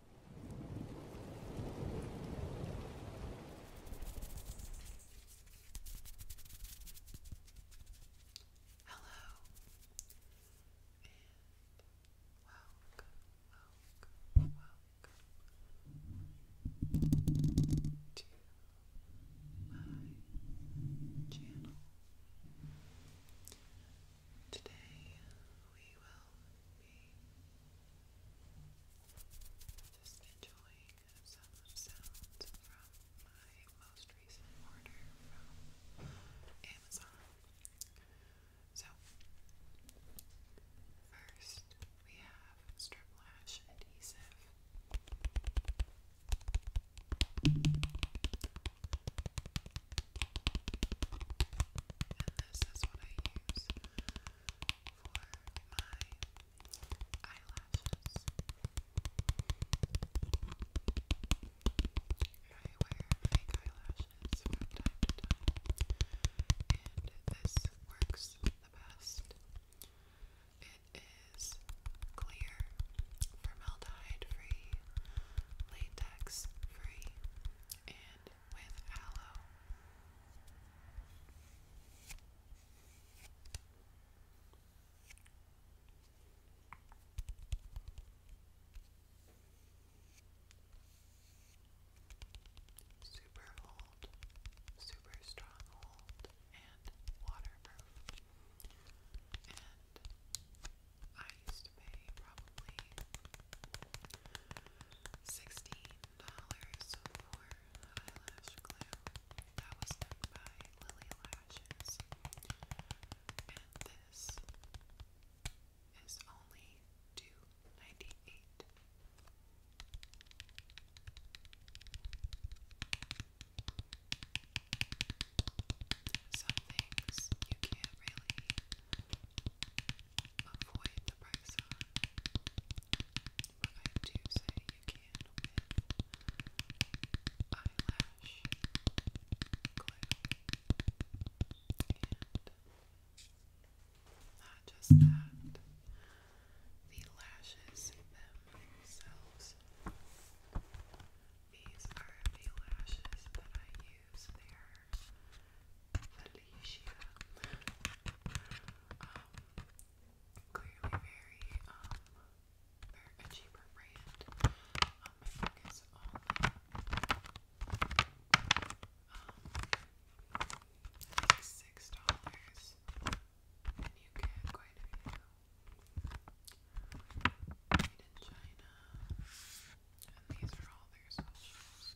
Hello and welcome, welcome, welcome to my channel. Today we will just enjoying some sounds from my most recent order from Amazon. So, first we have strip lash adhesive. And this is what I use for my eyelashes. I wear fake eyelashes from time time, and this works the best. It is clear, formaldehyde free, latex free, and with aloe. Super hold, super strong hold, and waterproof. And I used to pay probably $16 for eyelash glue that was done by Lily Lashes. And this is only 2 Some things you can't really avoid the price I do say you can with eyelash glue. And not just that, the lashes themselves. These are the lashes that I use. They Felicia clearly very, um, they a cheaper brand. Um, I focus on um, like six dollars, and you get quite a few. Made in China, and these are all their socials.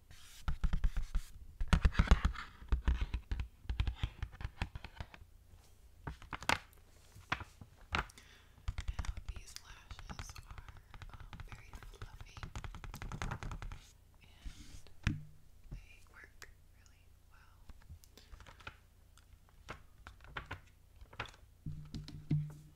Now these lashes are um, very fluffy and they work really well. Now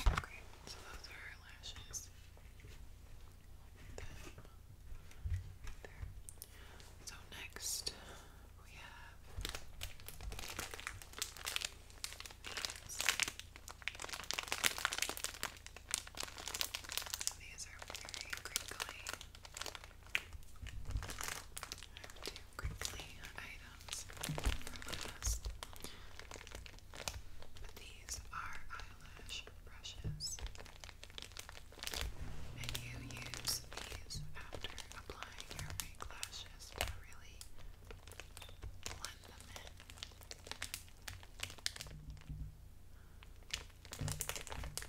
Okay, so those are lashes. there. So next we have these are very crinkly. I quickly items from these are eyelash brushes. And you use these after applying your fake lashes to really blend them in.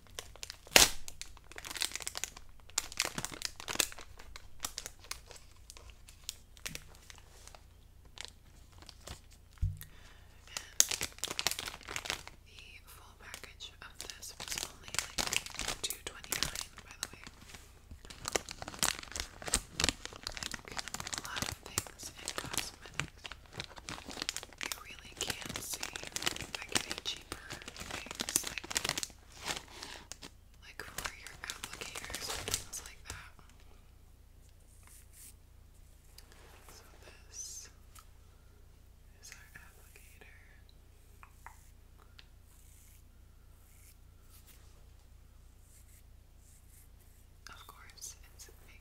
the full package of this was only like two twenty nine, by the way. Like a lot of things in cosmetics. You really can't see like any cheaper like for your applicators and things like that. So this is our applicator. Of course, it's pink.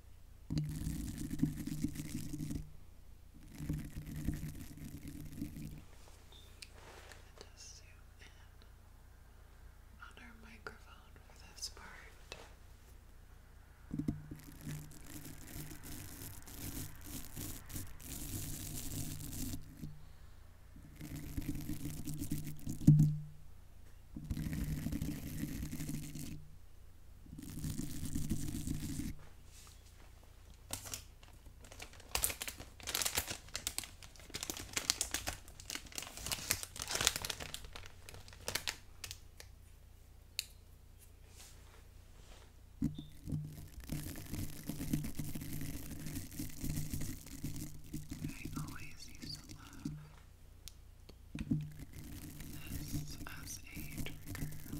just zoom in on our microphone for this part. Okay. I always used to love this as a trigger. Thank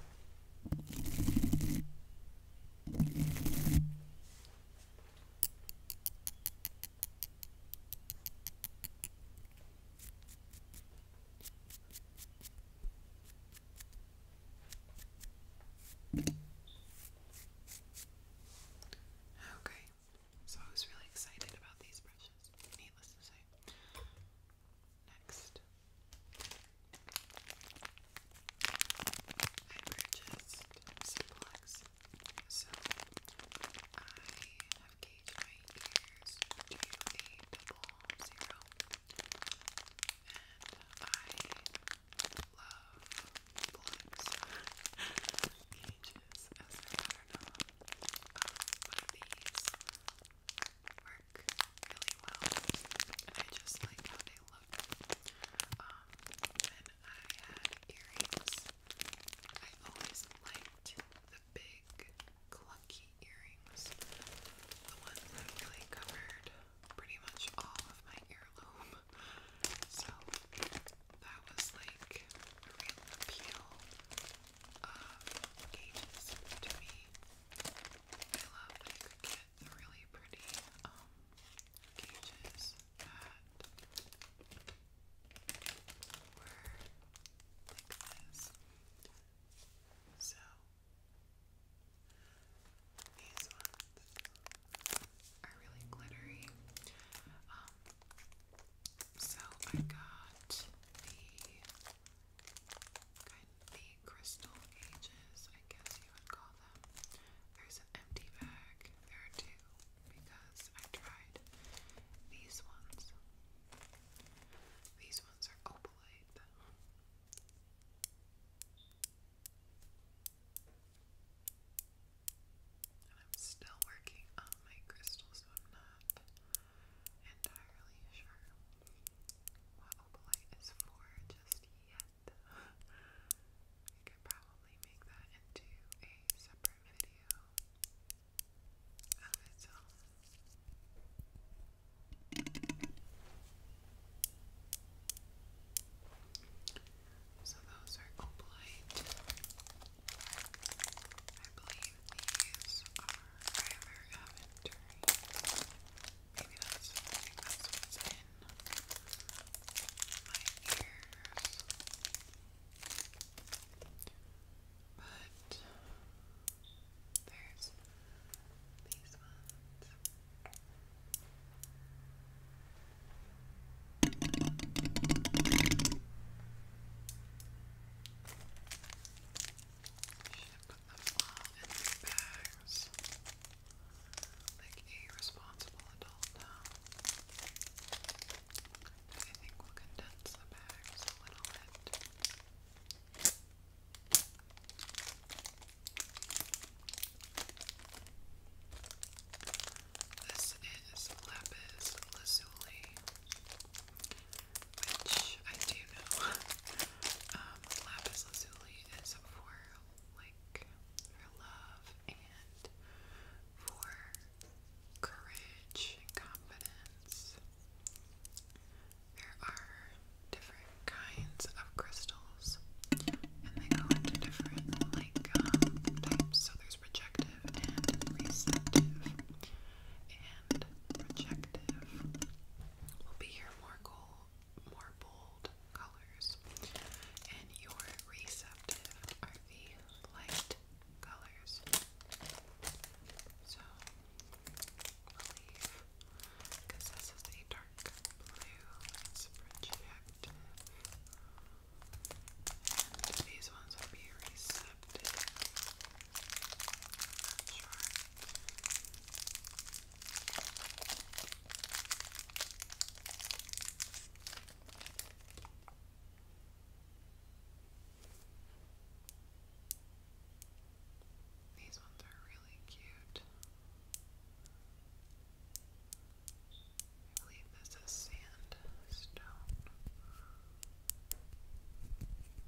Okay, so I was really excited about these brushes, needless to say. Next, I purchased some plugs, so I have gauged my double zero, and I love plugs, gauges as an astronaut. Um, but these really well, and I just like how they look. Um, I had earrings, I always liked the big clunky earrings, the ones that really covered pretty much all of my earlobe. So that was like a real appeal of ages to me. I love that you the really pretty um, cages that were like this. So these ones are really glittery. Um, so I got the kind the crystal ages, I guess you would call them. There's an empty bag. There are because I tried these ones. These ones are opalite. And I'm still working on my crystals, so i entirely sure what opalite is for just yet. we could probably make that into a separate video of its So those are opalite. I believe these are very, very Maybe that's I think in my ears. But there's these ones put them bags like a responsible I think we'll condense the bags a little bit. This is lapis lazuli which I do know. Um, lapis lazuli is for like love and for courage and confidence. There are different kinds of crystals, and they go into different like um, types. So there's projective and receptive, and projective will be your more gold, more bold colors, and your receptive are the light colors. So we because this is a dark blue. It's projective, and these ones will be receptive not sure. These ones are really cute. I believe this is sandstone.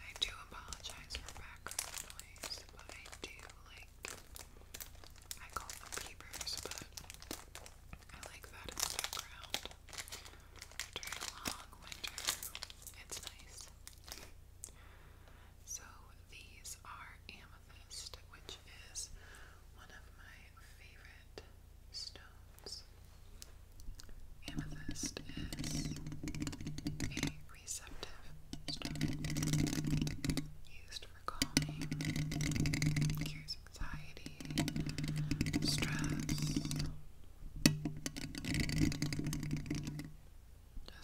I do apologize for background noise, but I do like I call them peepers, but I like that in the background. During long winter, it's nice. So these are amethyst, which is one of my favorite stones. Amethyst is a receptive stone used for calming, cures anxiety, stress,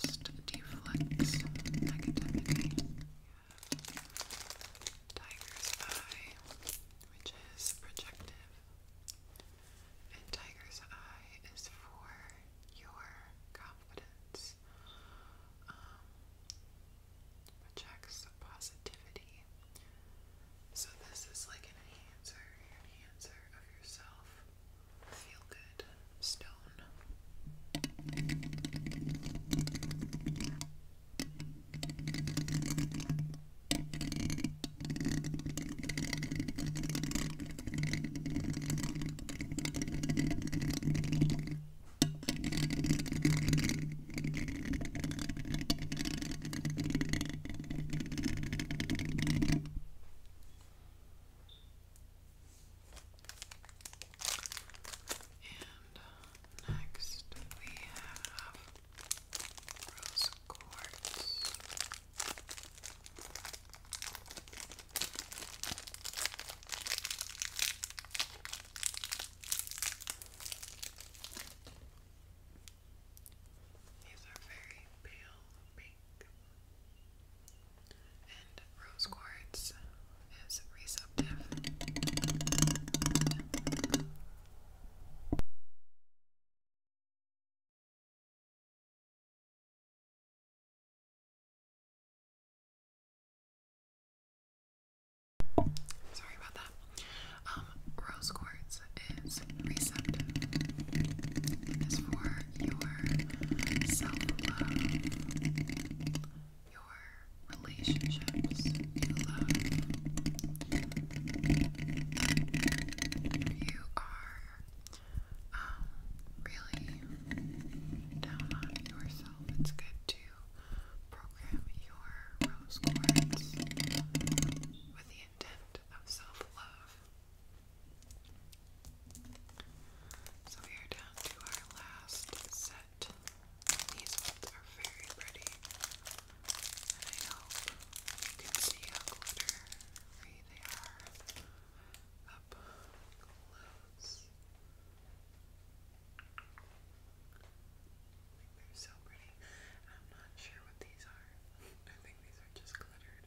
just deflects negativity. Tiger's eye, which is projective and Tiger's Eye is for your confidence, um, projects positivity. So, this is like an enhancer, enhancer of yourself. Feel good stone. And next we have rose quartz. These are very pale pink. And rose quartz is receptive. Sorry about that. Um, rose quartz is receptive. It is for your self-love, your relationships you love, you are um, really down on yourself, it's good to program your rose quartz with the intent of self love. So we are down to our last set. These ones are very pretty. I hope you can see how glittery they are up close. They're so pretty. I'm not sure what these are. I think these are just glittered.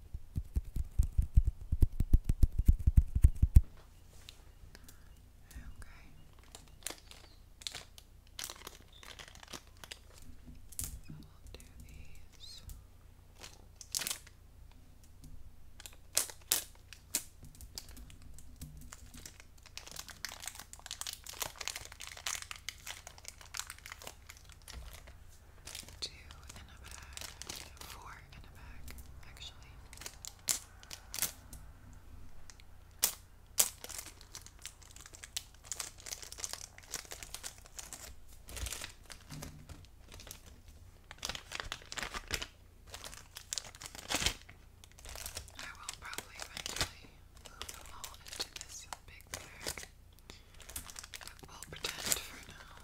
these two in a bag, four in a bag, actually. I will probably eventually move them all into this big I'll pretend for now.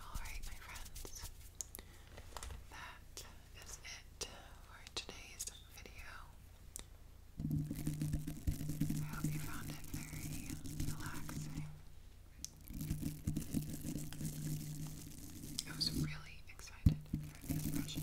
All right, my friends that is it for today's video. I hope you found it very relaxing. I was really excited for these brushes.